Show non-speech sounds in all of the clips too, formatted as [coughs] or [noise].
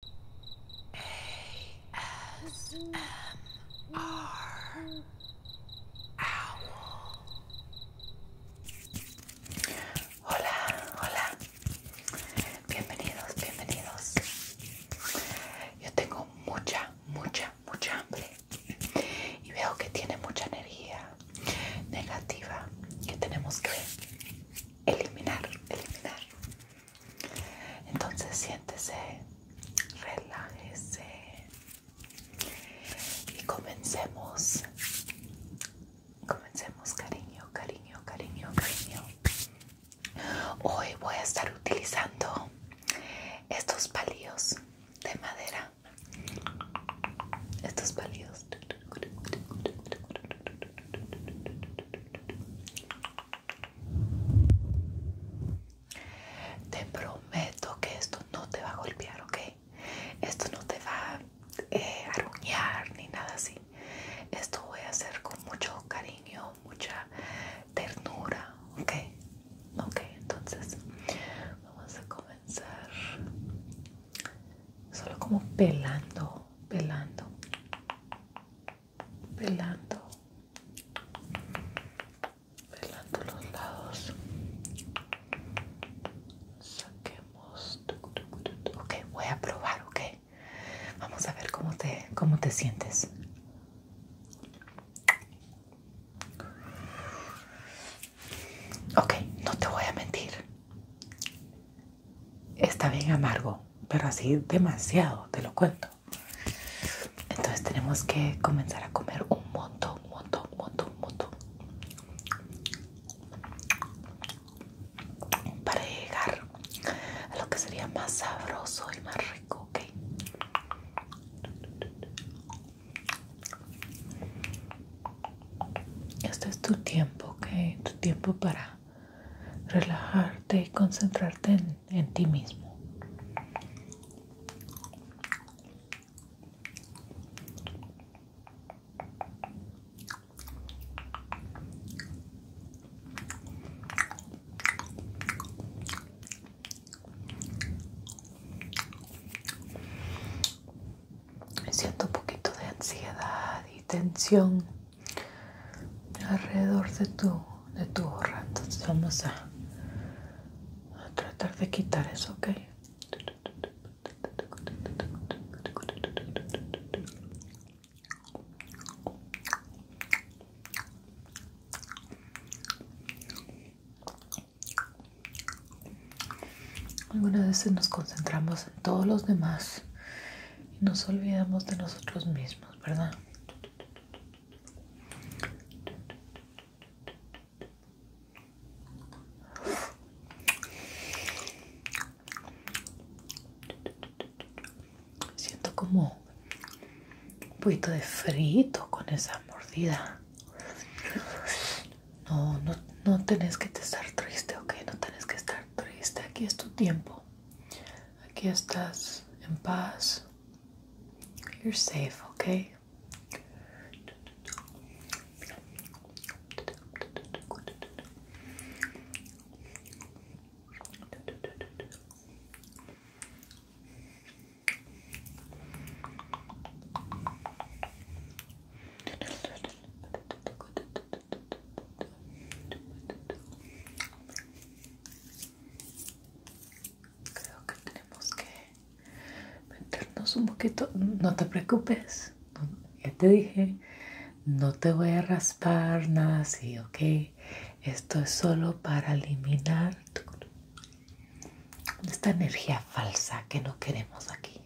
Hola, hola. Bienvenidos, bienvenidos. Yo tengo mucha, mucha, mucha hambre y veo que tiene mucha energía negativa que tenemos que eliminar, eliminar. Entonces siéntese, relájese y comencemos. Comencemos, cariño, cariño, cariño, cariño. Hoy voy a estar utilizando estos palillos de madera. Estos palillos. Te prometo que esto no te va a golpear, ¿ok? Esto no te va eh, a aruñar ni nada así. Esto voy a hacer con mucho cariño, mucha ternura, ¿ok? Ok, entonces vamos a comenzar solo como pelando, pelando pelando pelando los lados saquemos ok voy a probar ok vamos a ver cómo te cómo te sientes ok no te voy a mentir está bien amargo, pero así demasiado, te lo cuento. Entonces tenemos que comenzar a comer un montón, un montón, un montón, un montón. Para llegar a lo que sería más sabroso y más rico, ¿ok? Este es tu tiempo, ¿ok? Tu tiempo para relajarte y concentrarte en, ti mismo. Me siento un poquito de ansiedad y tensión alrededor de tu, de tu gorra. Entonces vamos a, a tratar de quitar eso, ¿ok? Algunas veces nos concentramos en todos los demás y nos olvidamos de nosotros mismos, ¿verdad? Siento como un poquito de frito con esa mordida. No, no, no tenés que estar triste, ok, no tenés que estar triste, aquí es tu tiempo. I guess that's in paz. You're safe, okay? Creo que tenemos que meternos un poquito. No te preocupes, ya te dije, no te voy a raspar nada así, ¿ok? Esto es solo para eliminar esta energía falsa que no queremos aquí.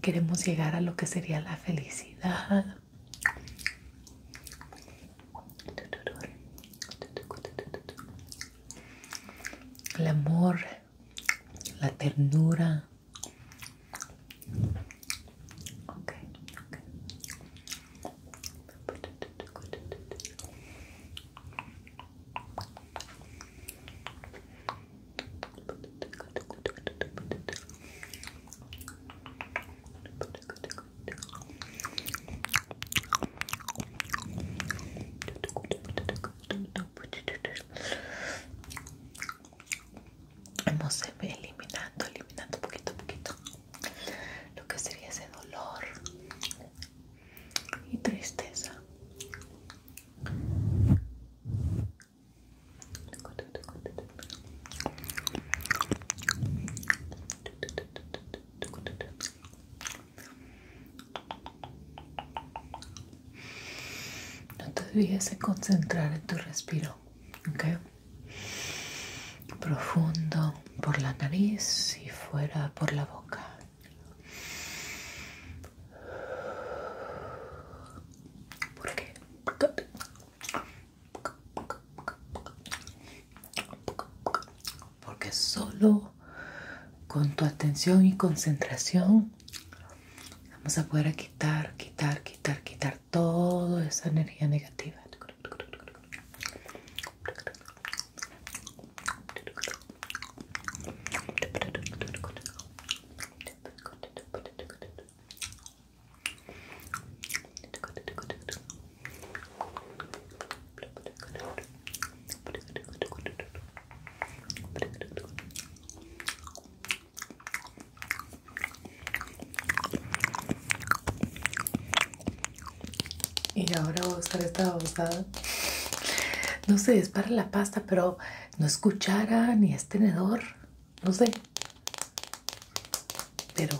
Queremos llegar a lo que sería la felicidad. El amor, la ternura ve eliminando, eliminando poquito poquito lo que sería ese dolor y tristeza. No te olvides de concentrar en tu respiro, ¿ok? Profundo por la nariz y fuera por la boca porque porque solo con tu atención y concentración vamos a poder quitar quitar quitar quitar toda esa energía negativa y ahora voy a usar esta No sé, es para la pasta, pero no escuchara ni es tenedor, no sé. Pero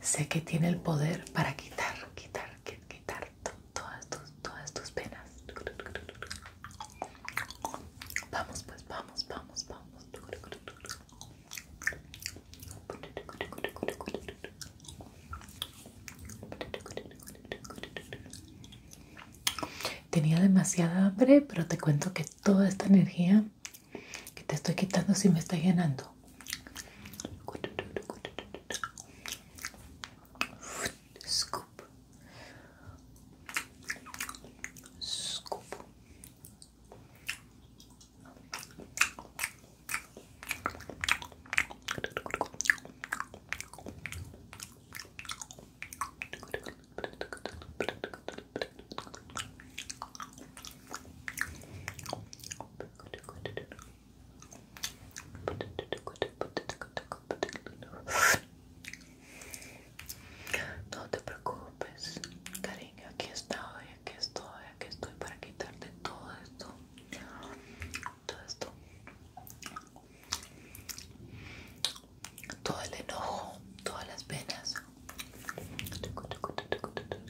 sé que tiene el poder para quitar, quitar, quitar todas tus, todas tus penas. Vamos, pues, vamos, vamos, vamos. Tenía demasiada hambre, pero te cuento que toda esta energía que te estoy quitando si me está llenando. Scoop. Scoop. No te preocupes, cariño, aquí estoy, aquí estoy, aquí estoy para quitarte todo esto. Todo esto todo el enojo, todas las penas.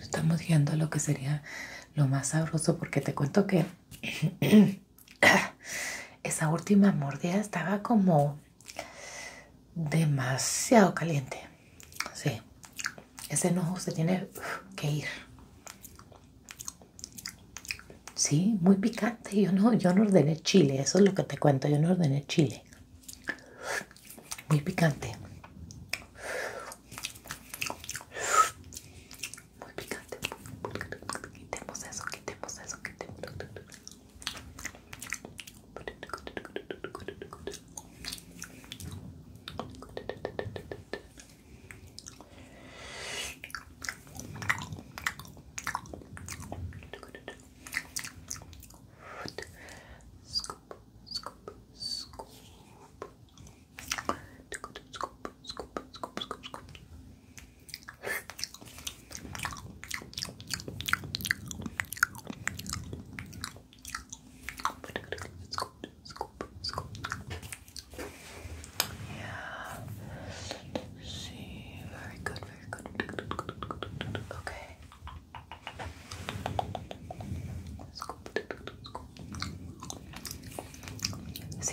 Estamos yendo a lo que sería lo más sabroso porque te cuento que [coughs] esa última mordida estaba como demasiado caliente. Sí, ese enojo se tiene que ir. Sí, muy picante. Yo no, yo no ordené chile, eso es lo que te cuento. Yo no ordené chile. Muy picante. Muy picante. Quitemos eso, quitemos eso, Scoop, scoop, scoop. Scoop, scoop, scoop, scoop, scoop, scoop. Scoop, scoop, scoop. Yeah. Let's see. Very good. Okay.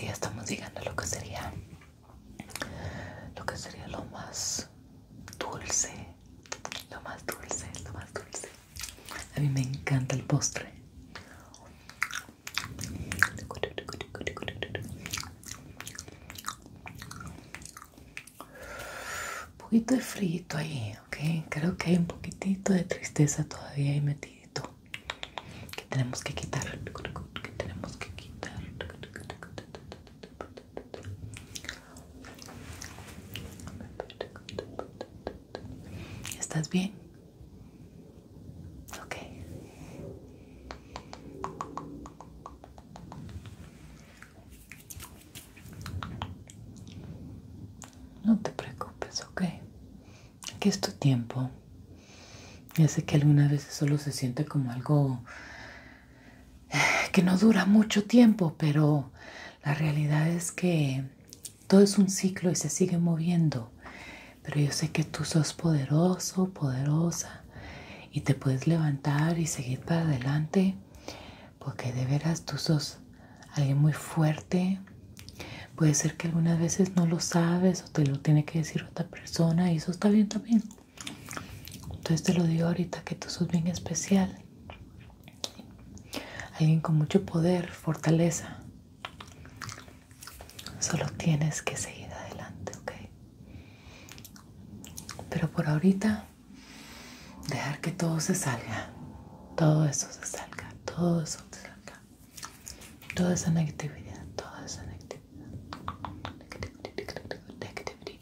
estamos llegando a lo que sería lo que sería lo más dulce, lo más dulce, lo más dulce. A mí me encanta el postre. Un poquito de frío ahí, ok. Creo que hay un poquitito de tristeza todavía ahí metido Que tenemos que quitar. Que tenemos que quitar. ¿Estás bien? Ok. No te preocupes, ok. Aquí es tu tiempo. Ya sé que algunas veces solo se siente como algo eh, que no dura mucho tiempo, pero la realidad es que todo es un ciclo y se sigue moviendo. Pero yo sé que tú sos poderoso, poderosa y te puedes levantar y seguir para adelante porque de veras tú sos alguien muy fuerte. Puede ser que algunas veces no lo sabes o te lo tiene que decir otra persona y eso está bien también. Entonces te lo digo ahorita que tú sos bien especial. Alguien con mucho poder, fortaleza. Solo tienes que seguir adelante, ¿ok? Pero por ahorita, dejar que todo se salga. Todo eso se salga. Todo eso se salga. Toda esa negatividad. Toda esa negatividad. Negativity, negativity,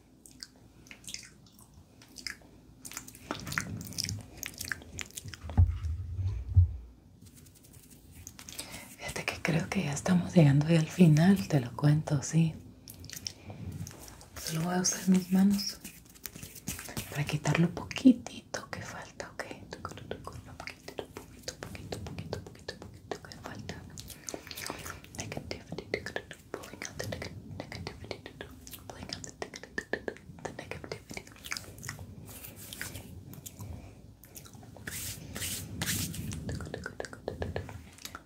Fíjate que creo que ya estamos llegando al final, te lo cuento, sí. Solo voy a usar mis manos para quitar lo poquitito que falta, ok. poquitito, poquito, poquito, poquito, poquito que falta. pulling out the negativity, pulling out the, neg the negativity.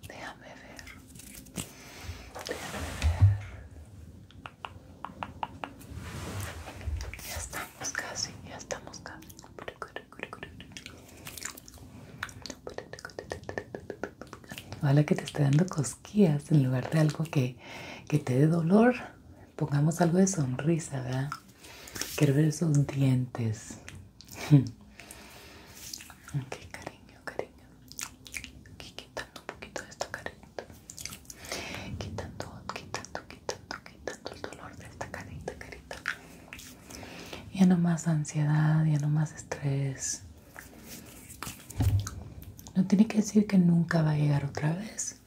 Déjame ver. Déjame ver. Ya estamos casi, ya estamos casi. Ojalá que te esté dando cosquillas en lugar de algo que, te dé dolor. Pongamos algo de sonrisa, ¿verdad? Quiero ver esos dientes. [laughs] ok, cariño, cariño. Aquí quitando un poquito de esta carita. Quitando, quitando, quitando, quitando el dolor de esta carita, carita. Ya no más ansiedad, ya no más estrés. No tiene que decir que nunca va a llegar otra vez.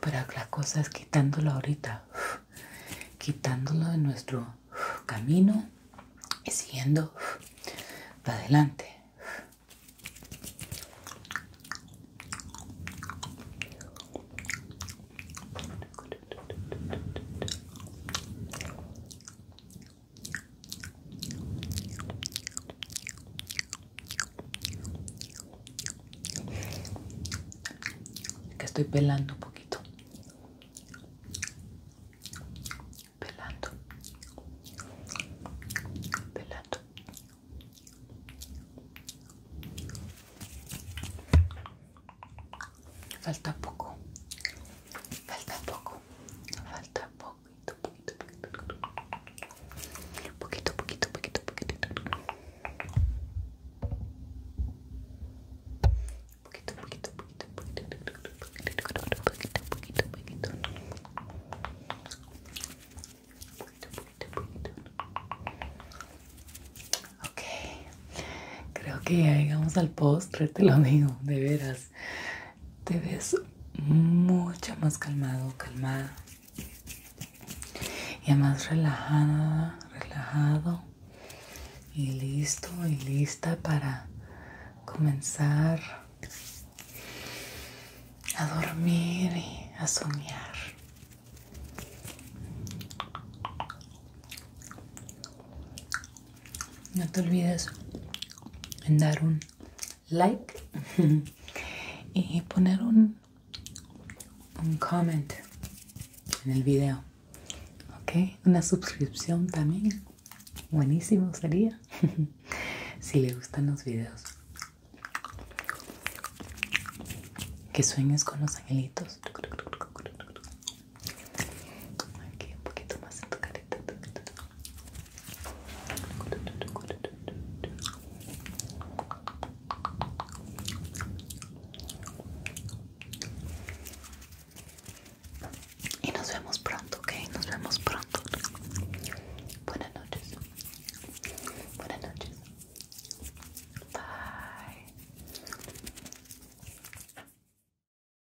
Pero la cosa es quitándolo ahorita, quitándolo de nuestro camino y siguiendo para adelante que estoy pelando un poquito pelando pelando falta poco Falta poco, falta poquito, poquito, poquito, poquito, poquito, poquito, poquito, poquito, poquito, poquito, poquito, poquito, poquito, Ok, creo que ya llegamos al postre, te lo digo, de veras te ves mucho más calmado, calmada y más relajada, relajado y listo y lista para comenzar a dormir y a soñar. No te olvides en dar un like [laughs] y poner un, un comment en el video. ¿Ok? Una suscripción también. Buenísimo sería [laughs] si le gustan los videos. Que sueñes con los angelitos. Aquí un poquito más en tu carita. Y nos vemos pronto, ok? Nos vemos pronto. Buenas noches. Buenas noches. Bye.